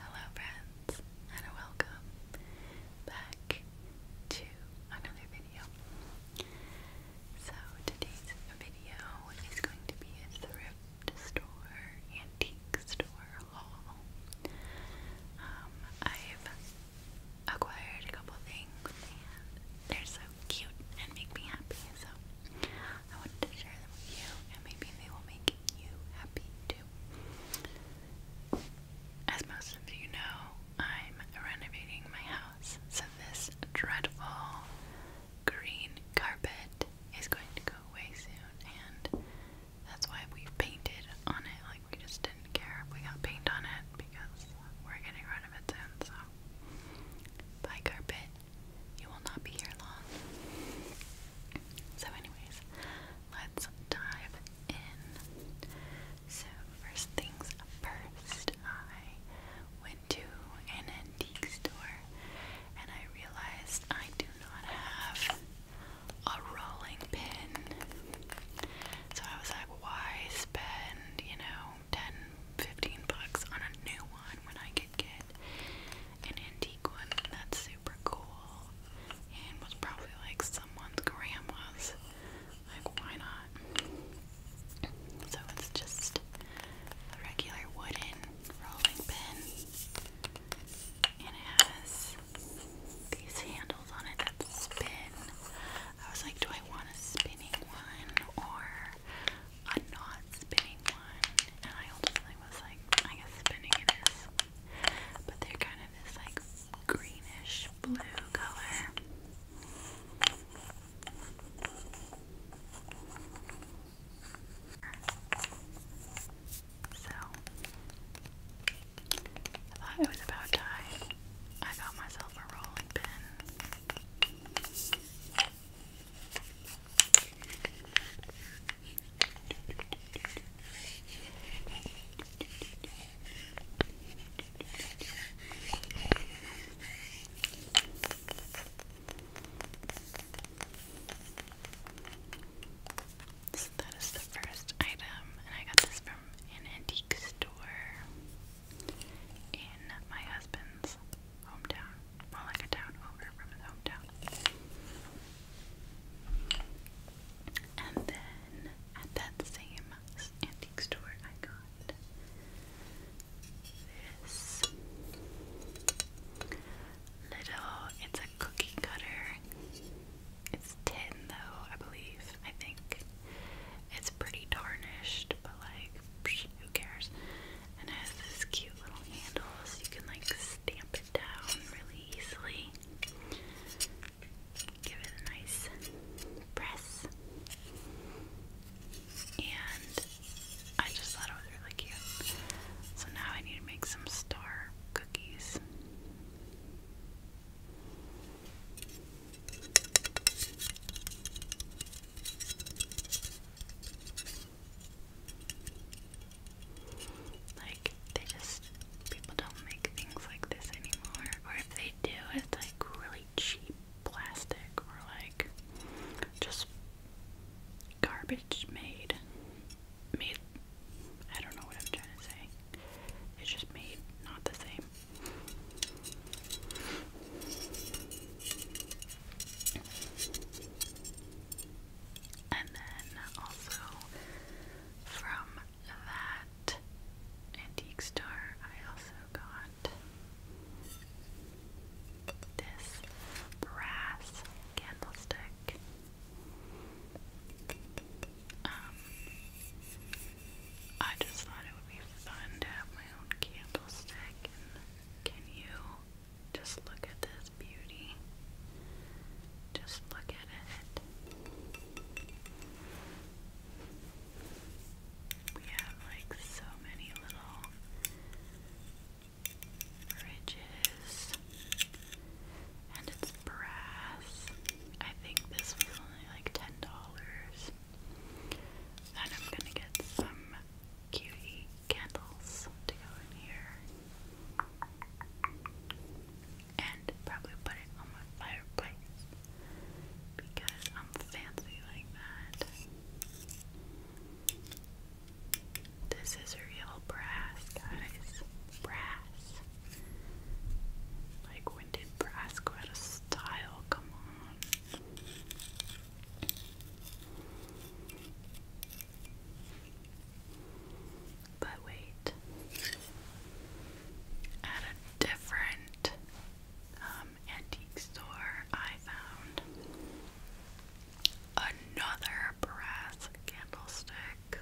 Hello, friends, and welcome back to another video. So, today's video is going to be a thrift store, antique store haul. Um, I've acquired a couple things, and they're so cute and make me happy, so I wanted to share them with you, and maybe they will make you happy as most of you know, I'm renovating my house, so this dreadful green carpet is going to go away soon, and that's why we painted on it. Like, we just didn't care if we got paint on it because we're getting rid of it soon, so. Bye, carpet. You will not be here long. So, anyways, let's dive in. So, first things first, I went to an antique store and I realized I do not have a rolling pin. So, I was like, why spend, you know, 10 15 bucks on a new one when I could get an antique one. That's super cool. And was probably like someone's grandma's. Like, why not? So it's just a regular wooden rolling pin. And it has these handles on it that spin. I was like, do I want a spinning one or a not spinning one, and I ultimately was like, I guess spinning it is. But they're kind of this like greenish blue color. So, I thought it was about time I got myself a rolling pin. So that is the first item, and I got this from an antique store in my husband's hometown. Well, like a town over from his hometown. And then at that same antique store, I got this little, it's a cookie cutter. It's tin though, I believe. I think it's pretty tarnished, but like who cares? And it has this cute little handle so you can like stamp it down really easily. Give it a nice press. And I just thought it was really cute. So now I need to make some star cookies. Like, they just, people don't make things like this anymore. Or if they do, it's like really cheap plastic or like just garbage made. Made, I don't know what I'm trying to say. It's just made not the same. And then also from that antique store, I also got this brass candlestick. Um, I just thought it would be fun to have my own candlestick can you just look at this beauty? Just look at it. We have like so many little bridges, and it's brass. I think this was only like ten dollars. And I'm gonna get some cutie candles to go in here. And probably put it on my fireplace because I'm fancy like that. This is real brass, guys. Brass. Like, when did brass go out of style? Come on. But wait, at a different um, antique store, I found another brass candlestick,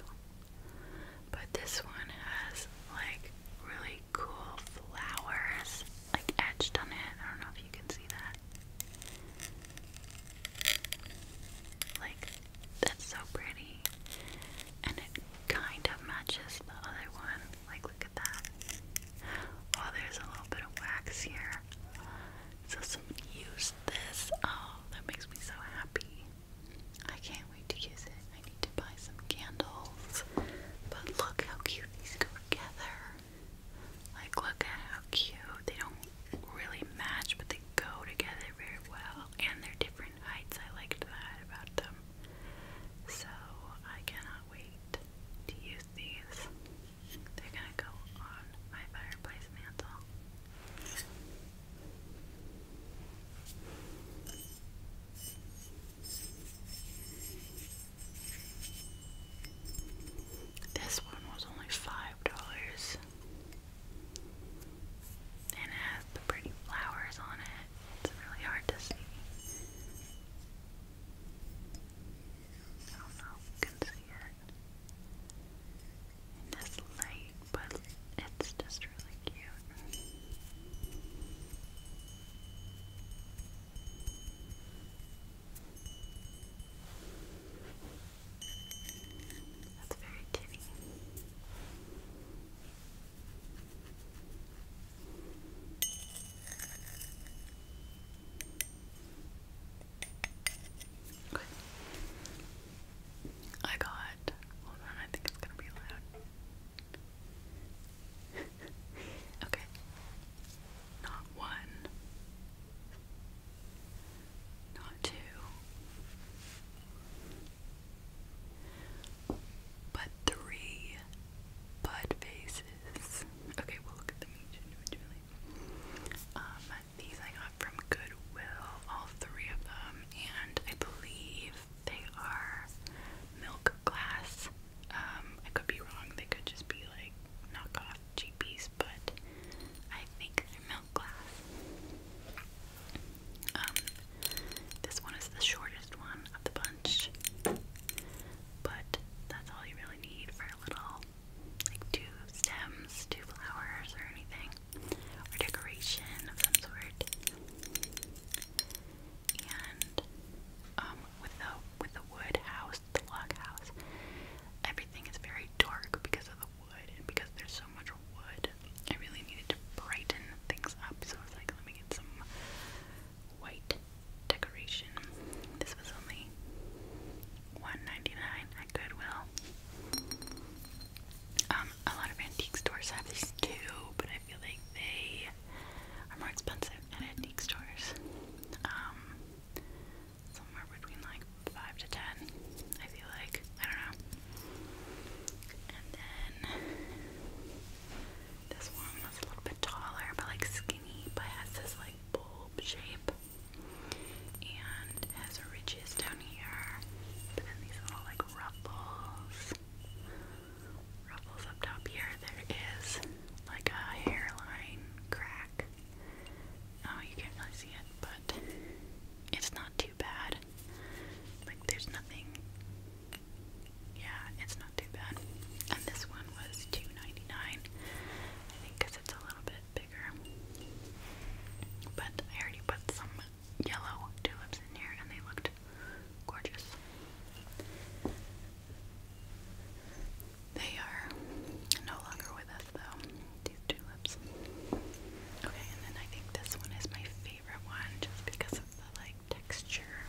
but this one has like really cool flowers like etched on it. I don't know if you can see that. Like that's so pretty. And it kind of matches the other one. Like look at that. Oh, there's a little bit of wax here. So somebody used this. Oh, that makes me so happy. I can't wait to use it. I need to buy some candles. But look how cute these go together. Like, look at how cute. They don't really match, but they go together very well. And they're different heights. I liked that about them. So, I cannot wait to use these. They're gonna go on my fireplace mantle. This one was only five dollars. And it has the pretty flowers on it. It's really hard to see. I don't know if you can see it in light, but it's just really cute. That's very tinny. I got. Hold on, I think it's gonna be loud. okay. Not one. Not two. But three bud faces. Okay, we'll look at them individually. Um, these I got from Goodwill, all three of them, and I believe they are milk glass. Um, I could be wrong. They could just be like knockoff cheapies, but I think they're milk glass. Um, this one is the shortest one of the bunch, but that's all you really need for a little, like two stems, two flowers, or anything, or decoration of some sort and um, with the with the wood house, the log house, everything is very dark because of the wood and because there's so much wood. I really needed to brighten things up, so I was like, let me get some white decoration. This was only one ninety nine at Goodwill. Um, a lot of antique stores have these too, but feel like they are more expensive at antique stores. Um, somewhere between like five to ten, I feel like. I don't know. And then this one was a little bit taller, but like skinny, but has this like bulb shape. And it has ridges down here, but then these little like ruffles ruffles up top here, there is like a hairline crack. Oh, you can't really see it, but it's not too bad. Like, there's nothing. Yeah, it's not too bad. And this one was 2 I think, because it's a little bit bigger. But I already put some yellow tulips in here and they looked gorgeous. They are no longer with us though, these tulips. Okay, and then I think this one is my favorite one just because of the like texture.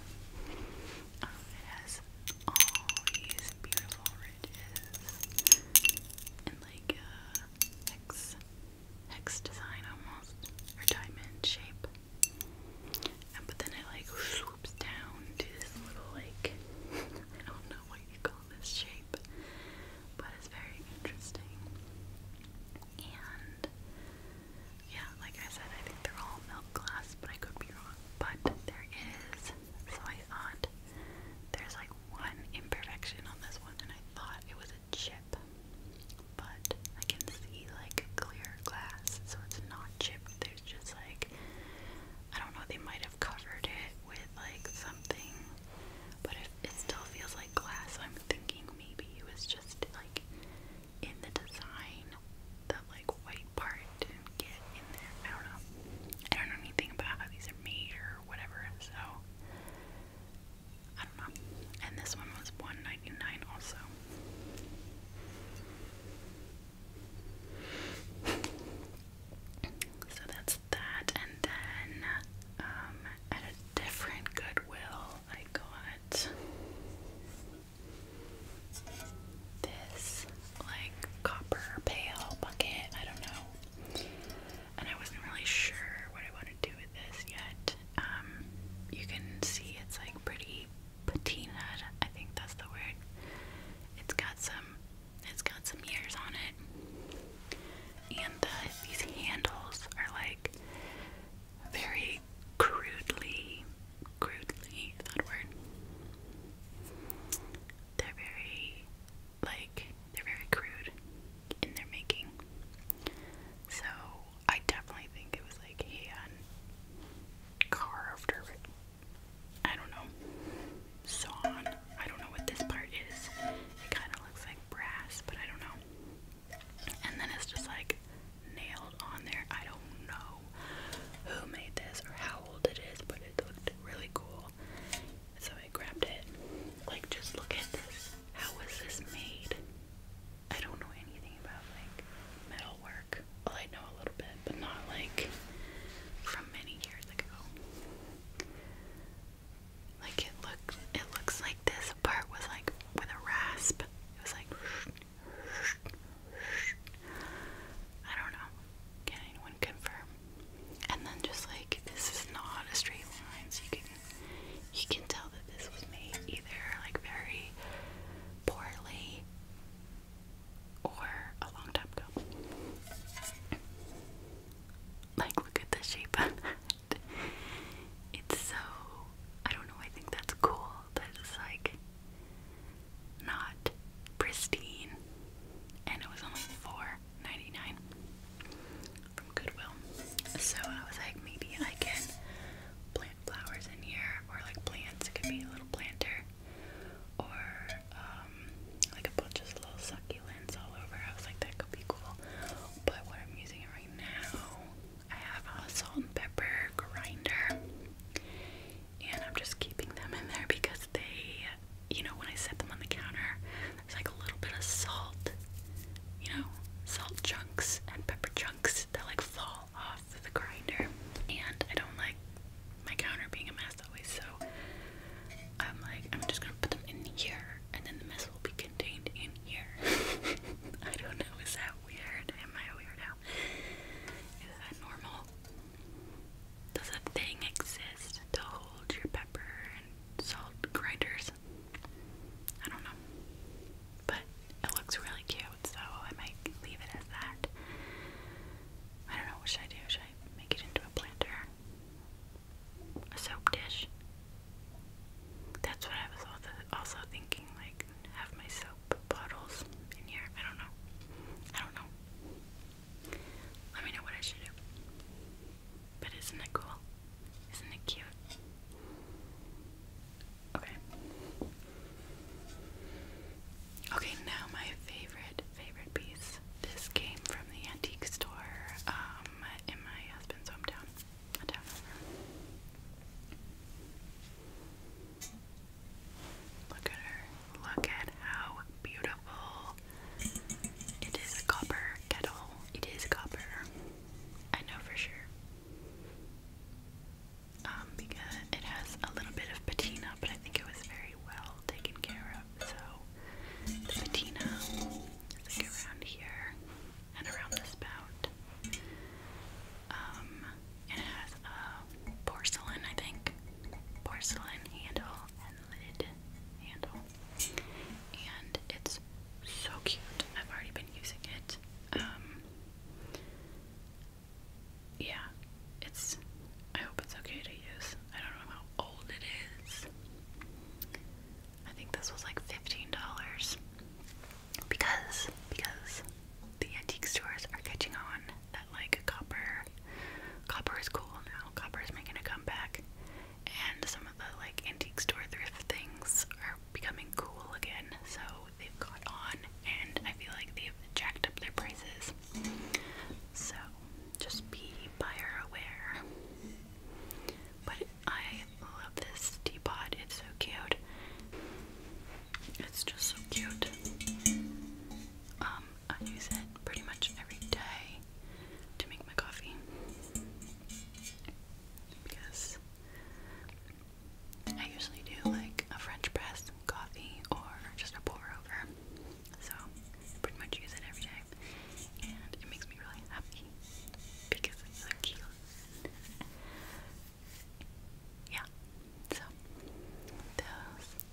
Um, it has all these beautiful ridges and like uh, X hex design almost, or diamond shape. but then it like swoops down to this little like, I don't know what you call this shape, but it's very interesting. And yeah, like I said, I think they're all milk glass, but I could be wrong. But there is, so I thought there's like one imperfection on this one, and I thought it was chip, but I can see like clear glass, so it's not chipped. There's just like, I don't know, they might have covered it with like something, but it, it still feels like glass. I'm thinking maybe it was just like in the design, the like white part get in there. I don't know. I don't know anything about how these are made or whatever, so I don't know. And this one was one ninety nine also. So that's that, and then um, at a different Goodwill, I got this like copper pail bucket. I don't know and I wasn't really sure what I wanted to do with this yet. Um, you can see it's like pretty patinaed. I think that's the word. It's got some, it's got some years on it, and these handles are like very crudely, crudely. that word? They're very like they're very crude in their making. So I definitely think it was like hand carved or I don't know sawn. I don't know what this part is. It kind of looks like brass, but I don't know. And then it's just like nailed on there. I don't know who made this or how old it is, but it looked really cool. So I grabbed it. Like, just look at this. How was this made? I don't know anything about like metalwork. Well, I know a little bit, but not like from many years ago. Like it looks, it looks like this part was like with a rasp. It was like, I don't know. Can anyone confirm? And then just like this is not a straight line, so you can you can tell that this was made either like very poorly or a long time ago. Like, look at the shape It's so. I don't know, I think that's cool that it's like not pristine. And it was only four 99 from Goodwill. So I was like, maybe I can plant flowers in here, or like plants. It could be a little planter, or um, like a bunch of little succulents all over. I was like, that could be cool. But what I'm using right now, I have a salt and pepper grinder, and I'm just keeping them in there because they, you know, when I set them on the counter, there's like a little bit of salt, you know, salt chunks and pepper chunks that like fall off the grinder. And I don't like my counter being a mess always, so I'm like, I'm just gonna put them in here and then the mess will be contained in here. I don't know, is that weird? Am I a weirdo? Is that normal? Does a thing exist to hold your pepper salt grinders. I don't know. But it looks really cute, so I might leave it as that. I don't know, what should I do? Should I make it into a planter? A soap dish? That's what I was also thinking, like, have my soap bottles in here. I don't know. I don't know. Let me know what I should do. But isn't it cool? Isn't it cute? Okay. Okay, now my favorite, favorite piece. This came from the antique store um, in my husband's hometown. Look at her. Look at how beautiful it is a copper kettle. It is copper. I know for sure. Um, because it has a little bit of patina, but I think it was very well taken care of. So the patina is around here and around the spout. Um, it has a porcelain, I think, porcelain handle and lid handle and it's so cute. I've already been using it. Um, yeah, it's. I hope it's okay to use. I don't know how old it is. I think this was like fifteen dollars because because the antique stores are catching on that like copper Copper is cool now. Copper is making a comeback, and some of the like antique store thrift things are becoming cool again. So they've caught on, and I feel like they've jacked up their prices. So just be buyer aware. But I love this teapot. It's so cute. It's just so cute. Um, I use it pretty much every day to make my coffee because I usually do like a French press coffee or just a pour over. So I pretty much use it every day and it makes me really happy because it's so cute. Yeah. So those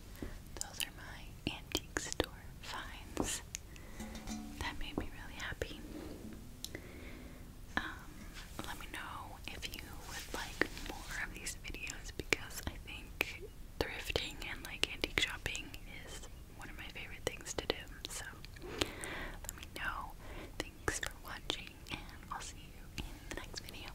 those are my antique store finds. That made me really happy. Um, let me know if you would like more of these videos because I think thrifting and like antique shopping is one of my favorite things to do. So let me know. Thanks for watching and I'll see you in the next video.